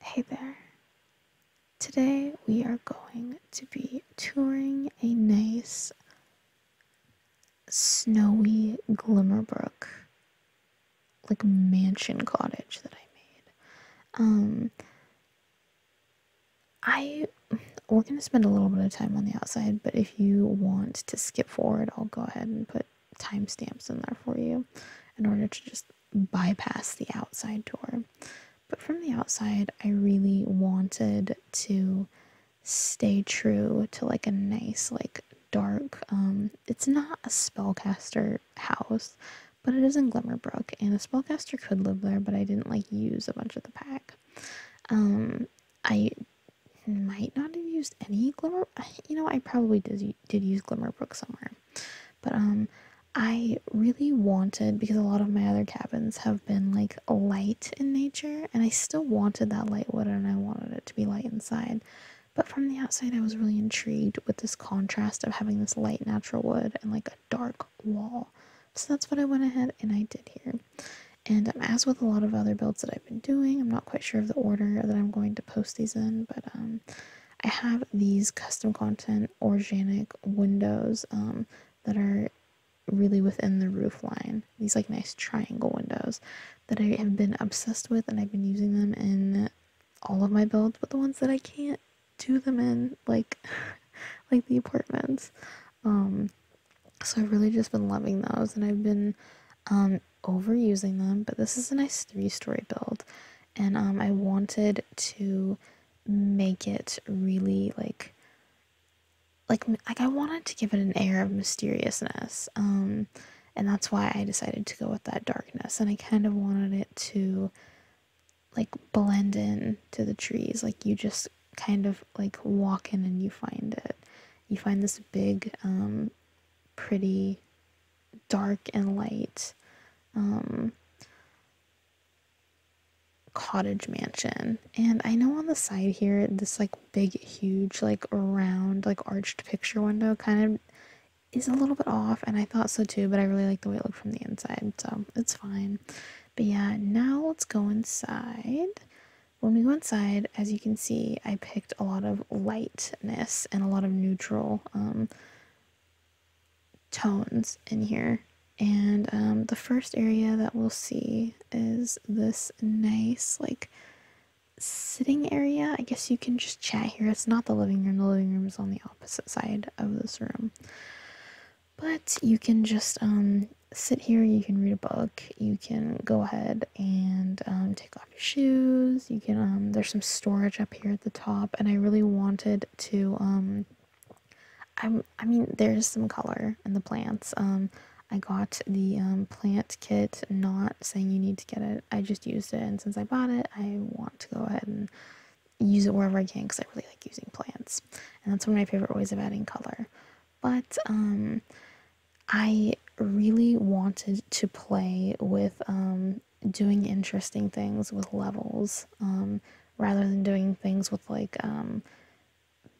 Hey there. Today we are going to be touring a nice snowy Glimmerbrook like mansion cottage that I made. Um I we're going to spend a little bit of time on the outside, but if you want to skip forward, I'll go ahead and put timestamps in there for you in order to just bypass the outside door. But from the outside, I really wanted to stay true to like a nice, like dark. Um, it's not a spellcaster house, but it is in Glimmerbrook, and a spellcaster could live there, but I didn't like use a bunch of the pack. Um, I might not have used any Glimmer. You know, I probably did did use Glimmerbrook somewhere, but um, I really wanted because a lot of my other cabins have been like light in nature, and I still wanted that light wood and I wanted it to be light inside. But from the outside, I was really intrigued with this contrast of having this light natural wood and like a dark wall. So that's what I went ahead and I did here. And um, as with a lot of other builds that I've been doing, I'm not quite sure of the order that I'm going to post these in, but um, I have these custom content organic windows um, that are really within the roof line. These like nice triangle windows that I have been obsessed with, and I've been using them in all of my builds. But the ones that I can't do them in, like like the apartments, um, so I've really just been loving those, and I've been um, overusing them. But this is a nice three-story build and um, I wanted to make it really like like like I wanted to give it an air of mysteriousness. Um, and that's why I decided to go with that darkness. And I kind of wanted it to like blend in to the trees. Like you just kind of like walk in and you find it. You find this big, um, pretty dark and light um, cottage mansion. And I know on the side here, this like big, huge, like round, like arched picture window kind of is a little bit off. And I thought so too, but I really like the way it looked from the inside. So it's fine. But yeah, now let's go inside. When we go inside, as you can see, I picked a lot of lightness and a lot of neutral um, tones in here. And um, the first area that we'll see is this nice, like, sitting area. I guess you can just chat here. It's not the living room, the living room is on the opposite side of this room. But you can just um, sit here, you can read a book, you can go ahead and um, take off your shoes you can um, there's some storage up here at the top and i really wanted to um i i mean there's some color in the plants um i got the um, plant kit not saying you need to get it i just used it and since i bought it i want to go ahead and use it wherever i can because i really like using plants and that's one of my favorite ways of adding color but um i really wanted to play with um doing interesting things with levels um, rather than doing things with like um,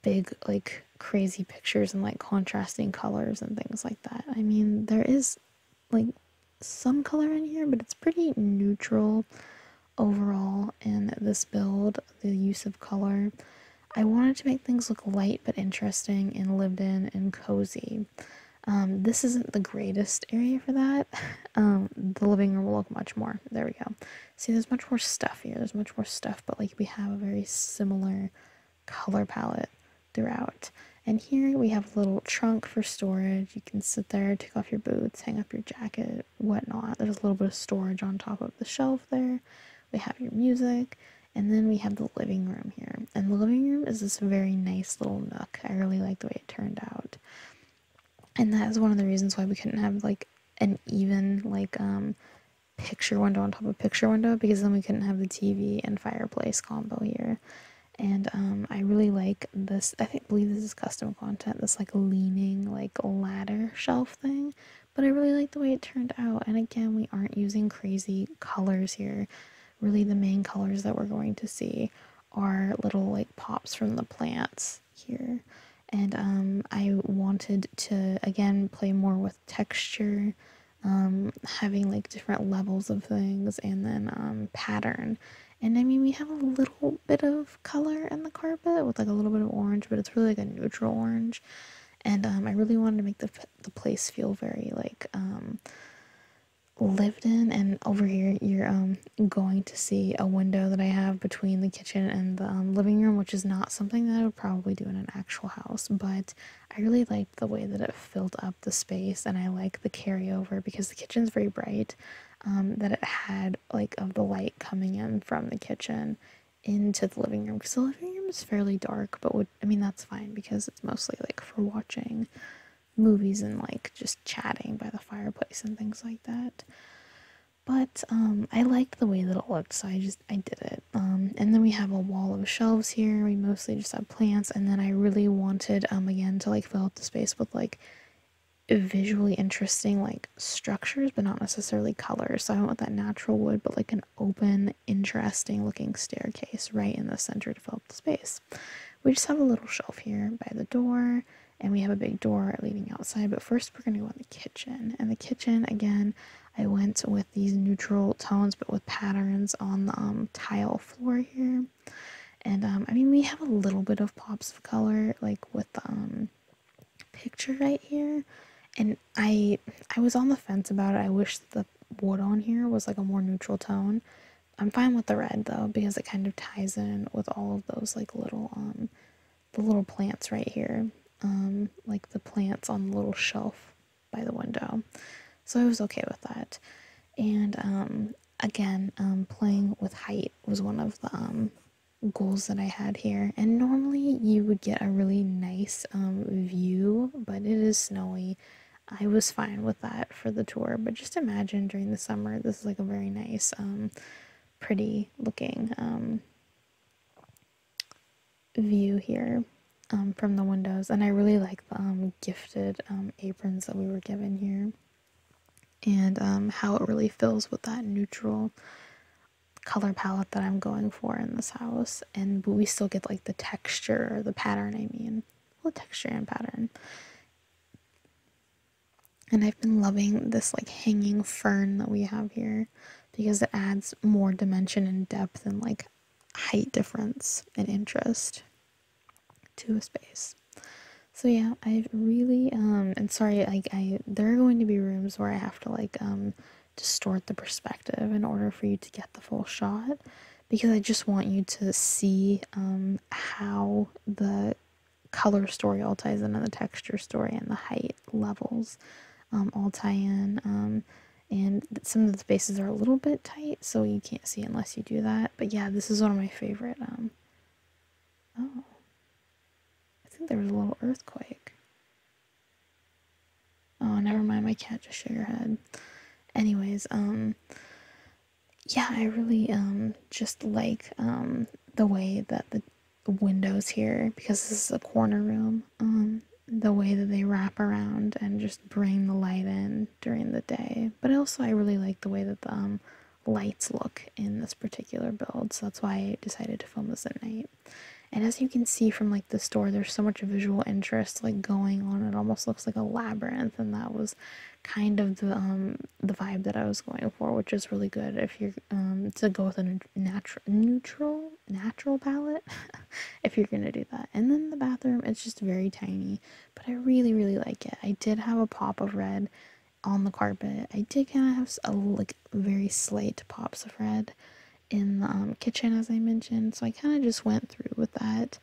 big like crazy pictures and like contrasting colors and things like that i mean there is like some color in here but it's pretty neutral overall in this build the use of color i wanted to make things look light but interesting and lived in and cozy um, this isn't the greatest area for that. Um, the living room will look much more. There we go. See, there's much more stuff here. There's much more stuff, but like we have a very similar color palette throughout. And here we have a little trunk for storage. You can sit there, take off your boots, hang up your jacket, whatnot. There's a little bit of storage on top of the shelf there. We have your music. And then we have the living room here. And the living room is this very nice little nook. I really like the way turned out. And that is one of the reasons why we couldn't have like an even like um picture window on top of picture window because then we couldn't have the TV and fireplace combo here. And um I really like this I think believe this is custom content, this like leaning like ladder shelf thing. But I really like the way it turned out. And again, we aren't using crazy colors here. Really the main colors that we're going to see are little like pops from the plants here and um, i wanted to again play more with texture um, having like different levels of things and then um, pattern and i mean we have a little bit of color in the carpet with like a little bit of orange but it's really like a neutral orange and um, i really wanted to make the, the place feel very like um, lived in and over here you're um going to see a window that I have between the kitchen and the um, living room which is not something that I would probably do in an actual house but I really liked the way that it filled up the space and I like the carryover because the kitchen's very bright um, that it had like of the light coming in from the kitchen into the living room because the living room is fairly dark but would I mean that's fine because it's mostly like for watching movies and like just chatting by the fireplace and things like that. But um, I liked the way that it looked, so I just I did it. Um, and then we have a wall of shelves here. We mostly just have plants, and then I really wanted um again to like fill up the space with like visually interesting like structures, but not necessarily colors. So I went with that natural wood, but like an open, interesting looking staircase right in the center to fill up the space. We just have a little shelf here by the door, and we have a big door leading outside. But first, we're going to go in the kitchen. And the kitchen, again, I went with these neutral tones but with patterns on the um, tile floor here. And um, I mean, we have a little bit of pops of color, like with the um, picture right here. And I, I was on the fence about it. I wish the wood on here was like a more neutral tone I'm fine with the red though because it kind of ties in with all of those like little um the little plants right here. Um like the plants on the little shelf by the window. So I was okay with that. And um again, um playing with height was one of the um goals that I had here. And normally you would get a really nice um view, but it is snowy I was fine with that for the tour, but just imagine during the summer, this is like a very nice, um, pretty looking um, view here um, from the windows. And I really like the gifted aprons that we were given here and how it really fills with that neutral color palette that I'm going for in this house. And but we still get like the texture, or the pattern, I mean, the texture and pattern and I've been loving this like hanging fern that we have here because it adds more dimension and depth and like height difference and interest to a space. So yeah, I really um and sorry like I there are going to be rooms where I have to like um distort the perspective in order for you to get the full shot because I just want you to see um, how the color story all ties in and the texture story and the height levels um, all tie in. Um, and some of the spaces are a little bit tight, so you can't see unless you do that. But yeah, this is one of my favorite. oh, I think there was a little earthquake. Oh, never mind. My cat just shook her head. Anyways, um, yeah, I really um just like um the way that the windows here because this is a corner room. Um, the way that they wrap around and just bring the light in during the day. But also I really like the way that the um, lights look in this particular build. So that's why I decided to film this at night. And as you can see from like the store, there's so much visual interest like going on. It almost looks like a labyrinth and that was kind of the um the vibe that I was going for, which is really good if you're um to go with a natural neutral natural palette if you're gonna do that. And then the bathroom, it's just very tiny, but I really really like it. I did have a pop of red on the carpet. I did kind of have a like very slight pops of red in the um, kitchen as I mentioned, so I kind of just went through with that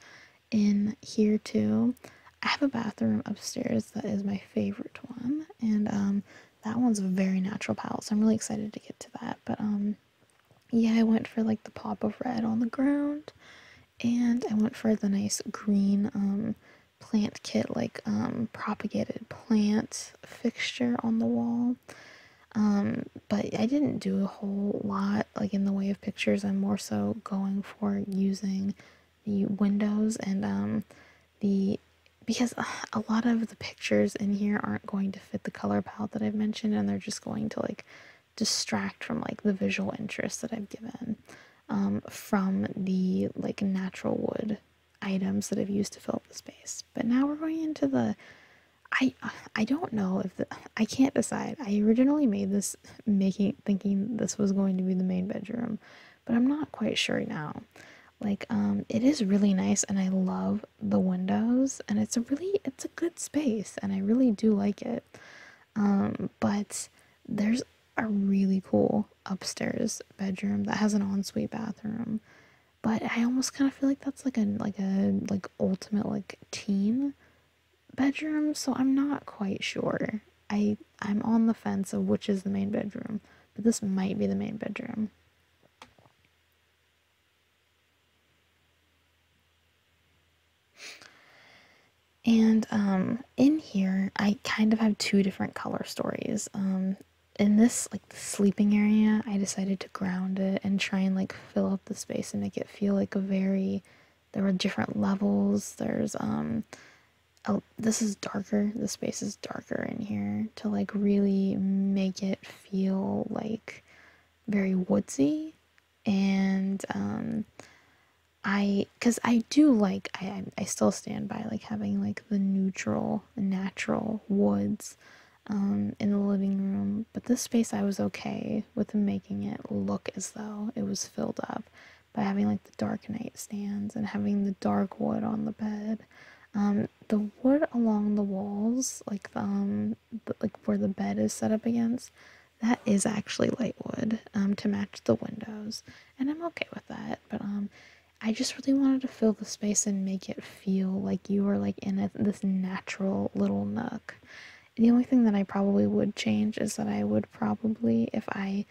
in here too. I have a bathroom upstairs that is my favorite one, and um, that one's a very natural palette, so I'm really excited to get to that. But um, yeah, I went for like the pop of red on the ground, and I went for the nice green um plant kit, like um propagated plant fixture on the wall. Um, but I didn't do a whole lot like in the way of pictures. I'm more so going for using the windows and um, the because uh, a lot of the pictures in here aren't going to fit the color palette that I've mentioned, and they're just going to like distract from like the visual interest that I've given um, from the like natural wood items that I've used to fill up the space. But now we're going into the I I don't know if I can't decide. I originally made this making thinking this was going to be the main bedroom, but I'm not quite sure now. Like um it is really nice and I love the windows and it's a really it's a good space and I really do like it. Um but there's a really cool upstairs bedroom that has an ensuite bathroom. But I almost kind of feel like that's like a like a like ultimate like team bedroom, so I'm not quite sure. I I'm on the fence of which is the main bedroom, but this might be the main bedroom. And um, in here, I kind of have two different color stories. Um, in this like sleeping area, I decided to ground it and try and like fill up the space and make it feel like a very there were different levels. There's um oh, this is darker. The space is darker in here to like really make it feel like very woodsy and um I cuz I do like I I still stand by like having like the neutral natural woods um, in the living room, but this space I was okay with making it look as though it was filled up by having like the dark night stands and having the dark wood on the bed. Um, the wood along the walls, like um, like where the bed is set up against, that is actually light wood um, to match the windows, and I'm okay with that. But um, I just really wanted to fill the space and make it feel like you were like in a, this natural little nook. The only thing that I probably would change is that I would probably, if I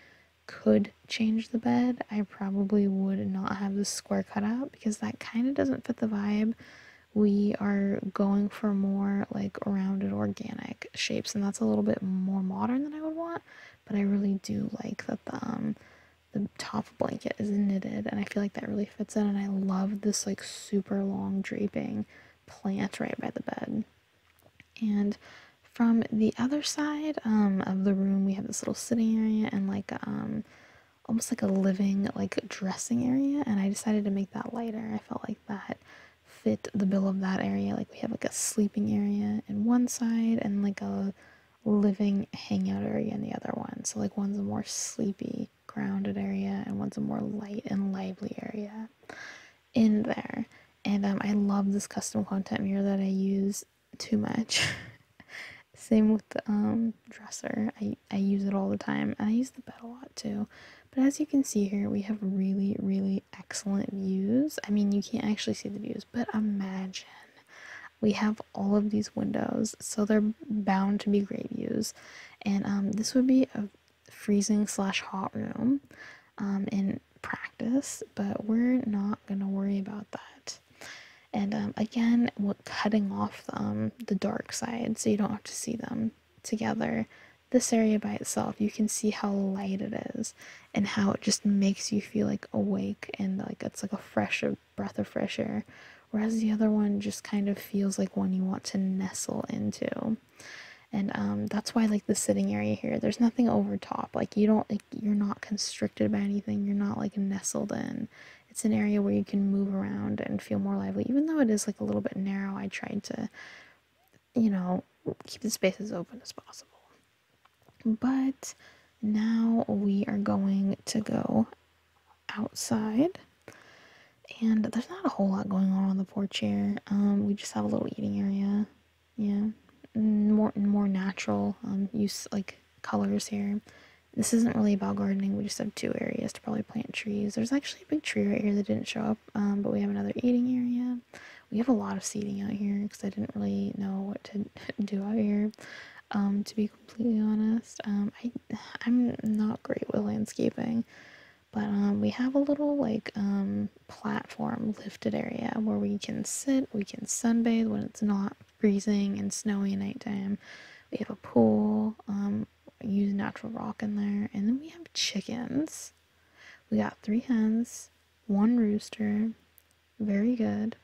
could change the bed, I probably would not have the square cutout because that kind of doesn't fit the vibe. We are going for more like rounded organic shapes, and that's a little bit more modern than I would want. But I really do like that the um, top blanket is knitted, and I feel like that really fits in. And I love this like super long draping plant right by the bed. And from the other side um, of the room, we have this little sitting area and like um, almost like a living like dressing area. And I decided to make that lighter. I felt like that fit the bill of that area. Like we have like a sleeping area in one side and like a living hangout area in the other one. So like one's a more sleepy, grounded area, and one's a more light and lively area in there. And um, I love this custom content mirror that I use too much. Same with the um, dresser. I, I use it all the time. I use the bed a lot too. But as you can see here, we have really, really excellent views. I mean, you can't actually see the views, but imagine we have all of these windows. So they're bound to be great views. And um, this would be a freezing slash hot room um, in practice, but we're not gonna worry about that. And um, again, we're cutting off um, the dark side so you don't have to see them together. This area by itself, you can see how light it is and how it just makes you feel like awake and like it's like a fresh breath of fresh air. Whereas the other one just kind of feels like one you want to nestle into and um, that's why like the sitting area here there's nothing over top like you don't you're not constricted by anything you're not like nestled in it's an area where you can move around and feel more lively even though it is like a little bit narrow I tried to you know keep the space as open as possible but now we are going to go outside and there's not a whole lot going on on the four chair. Um, we just have a little eating area. Yeah, mm, more more natural um, use like colors here. This isn't really about gardening. We just have two areas to probably plant trees. There's actually a big tree right here that didn't show up, um, but we have another eating area. We have a lot of seating out here because I didn't really know what to do out here. to be completely honest, I I'm not great with landscaping but um, we have a little like um, platform lifted area where we can sit we can sunbathe when it's not freezing and snowy at nighttime we have a pool um, use natural rock in there and then we have chickens we got three hens one rooster very good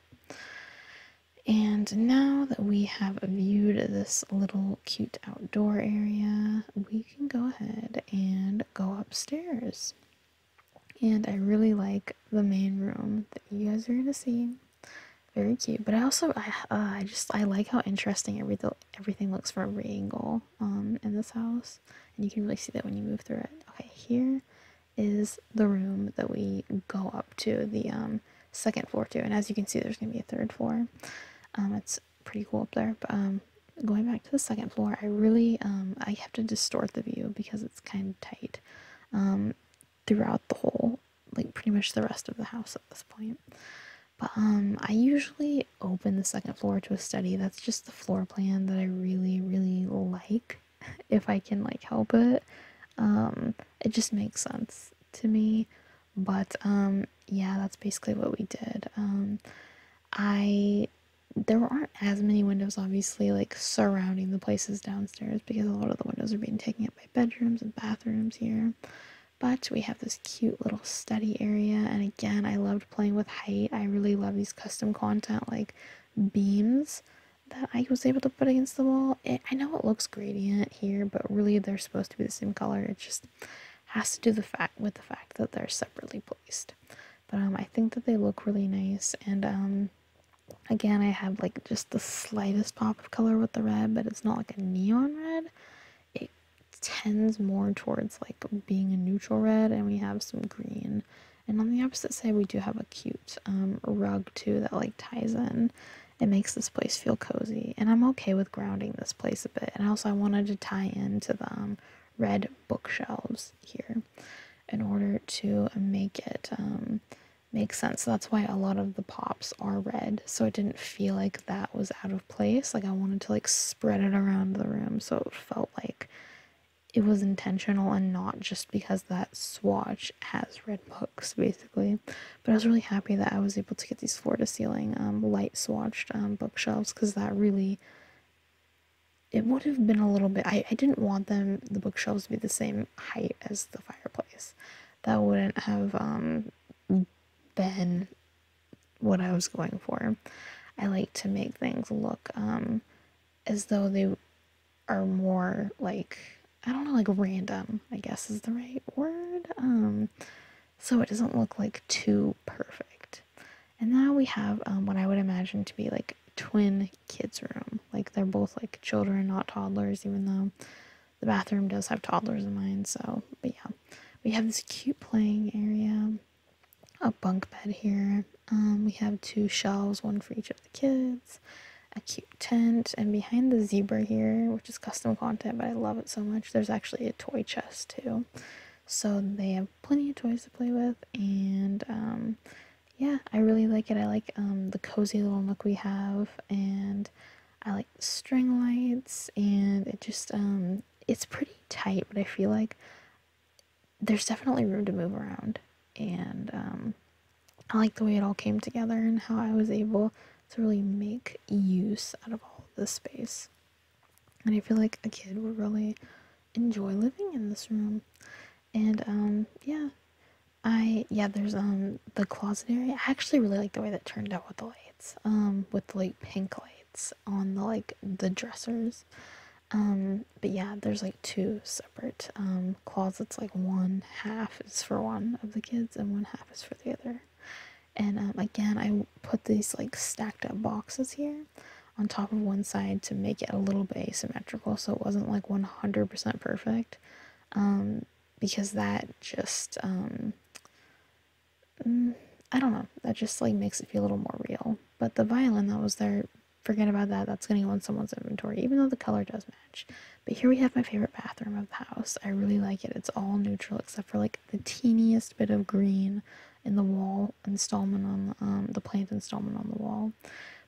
and now that we have viewed this little cute outdoor area, we you can go ahead and go upstairs. And I really like the main room that you guys are gonna see. Very cute, but I also I uh, just I like how interesting everything everything looks from every angle um in this house, and you can really see that when you move through it. Okay, here is the room that we go up to the um second floor to, and as you can see, there's gonna be a third floor. Um, it's pretty cool up there. But um, going back to the second floor, I really um, I have to distort the view because it's kind of tight um, throughout the whole, like pretty much the rest of the house at this point. But um, I usually open the second floor to a study. That's just the floor plan that I really, really like. If I can like help it, um, it just makes sense to me. But um, yeah, that's basically what we did. Um, I there aren't as many windows obviously like surrounding the places downstairs because a lot of the windows are being taken up by bedrooms and bathrooms here. But we have this cute little study area and again I loved playing with height. I really love these custom content like beams that I was able to put against the wall. I know it looks gradient here, but really they're supposed to be the same color. It's just has to do the fact with the fact that they're separately placed. But um, I think that they look really nice, and um, again, I have like just the slightest pop of color with the red, but it's not like a neon red. It tends more towards like being a neutral red, and we have some green. And on the opposite side, we do have a cute um, rug too that like ties in. It makes this place feel cozy, and I'm okay with grounding this place a bit. And also, I wanted to tie into the um, red bookshelves here in order to make it um, make sense. that's why a lot of the pops are red. So it didn't feel like that was out of place. Like I wanted to like spread it around the room so it felt like it was intentional and not just because that swatch has red books basically but i was really happy that i was able to get these floor to ceiling um, light swatched um, bookshelves because that really it would have been a little bit I, I didn't want them the bookshelves to be the same height as the fireplace that wouldn't have um, been what i was going for i like to make things look um, as though they are more like i don't know like random i guess is the right word um, so it doesn't look like too perfect. And now we have um, what I would imagine to be like twin kids' room. Like they're both like children, not toddlers, even though the bathroom does have toddlers in mind. So, but yeah, we have this cute playing area, a bunk bed here. Um, we have two shelves, one for each of the kids, a cute tent, and behind the zebra here, which is custom content, but I love it so much, there's actually a toy chest too. So they have plenty of toys to play with and um yeah i really like it i like um the cozy little nook we have and i like string lights and it just um it's pretty tight but i feel like there's definitely room to move around and um i like the way it all came together and how i was able to really make use out of all the space and I feel like a kid would really enjoy living in this room. And um, yeah, I yeah, there's um the closet area. I actually really like the way that turned out with the lights, um, with like pink lights on the like the dressers. Um, but yeah, there's like two separate um closets. Like one half is for one of the kids and one half is for the other and um, again i put these like stacked up boxes here on top of one side to make it a little bit asymmetrical so it wasn't like 100% perfect um, because that just um, mm, i don't know that just like makes it feel a little more real but the violin that was there forget about that that's going to go in someone's inventory even though the color does match but here we have my favorite bathroom of the house i really like it it's all neutral except for like the teeniest bit of green in the wall installment on um, the plant installment on the wall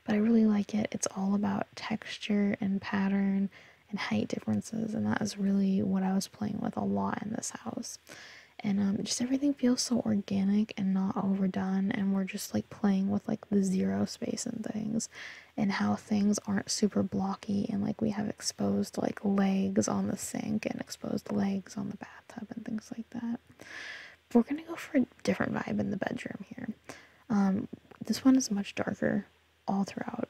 but i really like it it's all about texture and pattern and height differences and that is really what i was playing with a lot in this house and um, just everything feels so organic and not overdone and we're just like playing with like the zero space and things and how things aren't super blocky and like we have exposed like legs on the sink and exposed legs on the bath and things like that. we're gonna go for a different vibe in the bedroom here. Um, this one is much darker all throughout.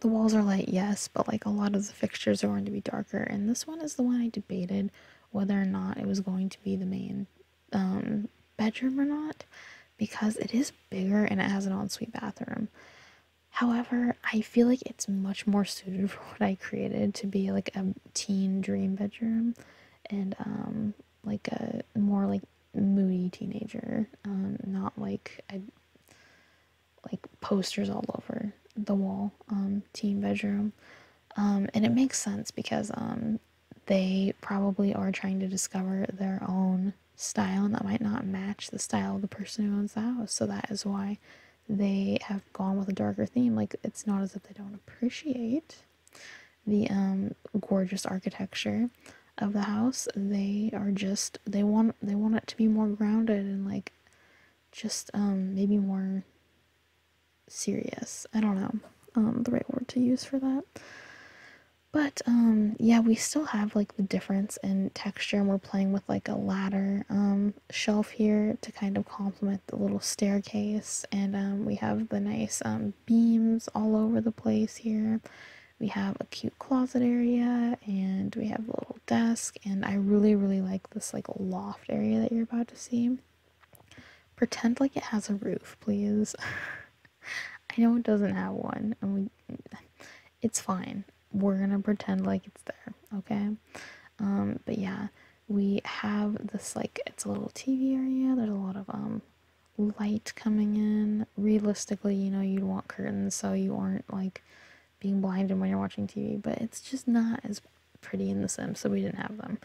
The walls are light, yes, but like a lot of the fixtures are going to be darker. And this one is the one I debated whether or not it was going to be the main um, bedroom or not because it is bigger and it has an ensuite bathroom. However, I feel like it's much more suited for what I created to be like a teen dream bedroom and um like a more like moody teenager, um not like a like posters all over the wall um teen bedroom. Um and it makes sense because um they probably are trying to discover their own style and that might not match the style of the person who owns the house. So that is why they have gone with a darker theme. Like it's not as if they don't appreciate the um gorgeous architecture of the house. They are just they want they want it to be more grounded and like just um maybe more serious. I don't know um, the right word to use for that. But um yeah, we still have like the difference in texture and we're playing with like a ladder um shelf here to kind of complement the little staircase. And um, we have the nice um, beams all over the place here. We have a cute closet area and we have a little desk. And I really, really like this like loft area that you're about to see. Pretend like it has a roof, please. I know it doesn't have one. And we, it's fine we're gonna pretend like it's there, okay? Um, but yeah, we have this like it's a little TV area. There's a lot of um light coming in. Realistically, you know, you'd want curtains so you aren't like being blinded when you're watching TV, but it's just not as pretty in The sim, so we didn't have them,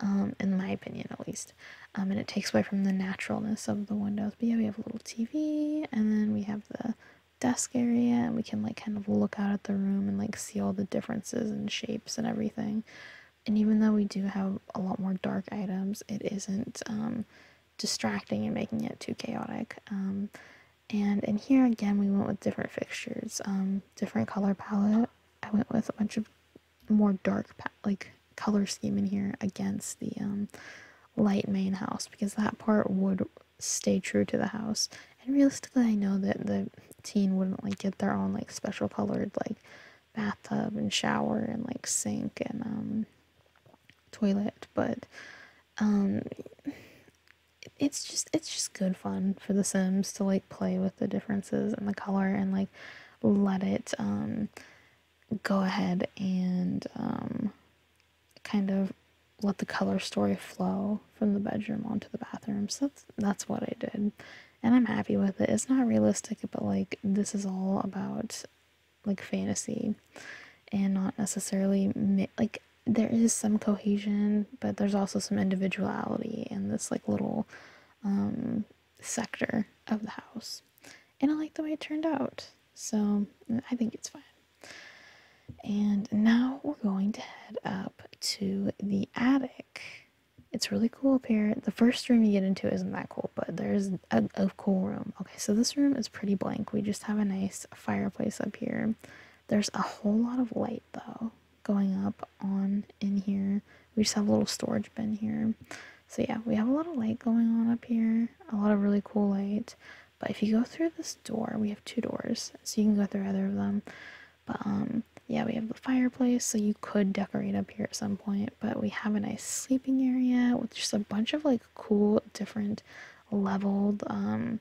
um, in my opinion at least. Um, and it takes away from the naturalness of the windows. But yeah, we have a little TV, and then we have the desk area and we can like kind of look out at the room and like see all the differences and shapes and everything and even though we do have a lot more dark items it isn't um, distracting and making it too chaotic um, and in here again we went with different fixtures um, different color palette i went with a bunch of more dark like color scheme in here against the um, light main house because that part would stay true to the house. And realistically, I know that the teen wouldn't like get their own like special colored like bathtub and shower and like sink and um toilet, but um it's just it's just good fun for the Sims to like play with the differences and the color and like let it um go ahead and um kind of let the color story flow from the bedroom onto the bathroom. So that's, that's what I did. And I'm happy with it. It's not realistic, but like this is all about like fantasy and not necessarily like there is some cohesion, but there's also some individuality in this like little um, sector of the house. And I like the way it turned out. So I think it's fine. And now we're going to head up to the attic. It's really cool up here. The first room you get into isn't that cool, but there's a, cool room. Okay, so this room is pretty blank. We just have a nice fireplace up here. There's a whole lot of light though going up on in here. We just have a little storage bin here. So yeah, we have a lot of light going on up here. A lot of really cool light. But if you go through this door, we have two doors, so you can go through either of them. But um, yeah, we have the fireplace, so you could decorate up here at some point. But we have a nice sleeping area with just a bunch of like cool, different leveled um,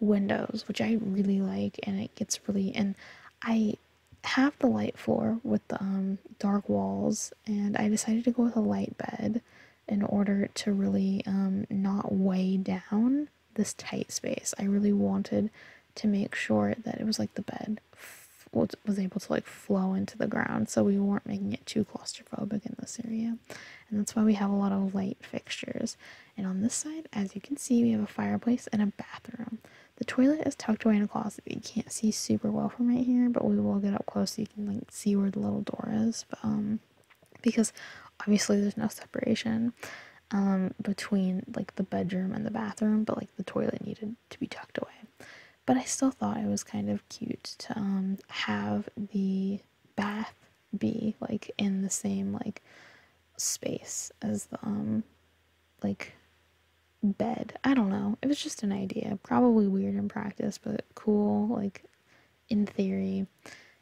windows, which I really like, and it gets really and I have the light floor with the um, dark walls, and I decided to go with a light bed in order to really um, not weigh down this tight space. I really wanted to make sure that it was like the bed was able to like flow into the ground so we weren't making it too claustrophobic in this area and that's why we have a lot of light fixtures and on this side as you can see we have a fireplace and a bathroom the toilet is tucked away in a closet you can't see super well from right here but we will get up close so you can like see where the little door is but um because obviously there's no separation um, between like the bedroom and the bathroom, but like the toilet needed to be tucked away. But I still thought it was kind of cute to um, have the bath be like in the same like space as the um, like bed. I don't know. It was just an idea. Probably weird in practice, but cool. Like in theory.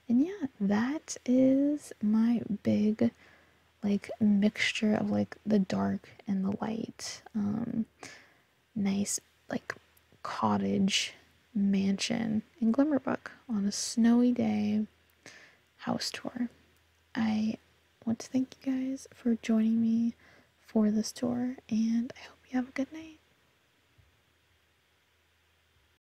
And yeah, that is my big like mixture of like the dark and the light. Um nice like cottage mansion in Glimmerbrook on a snowy day house tour. I want to thank you guys for joining me for this tour and I hope you have a good night.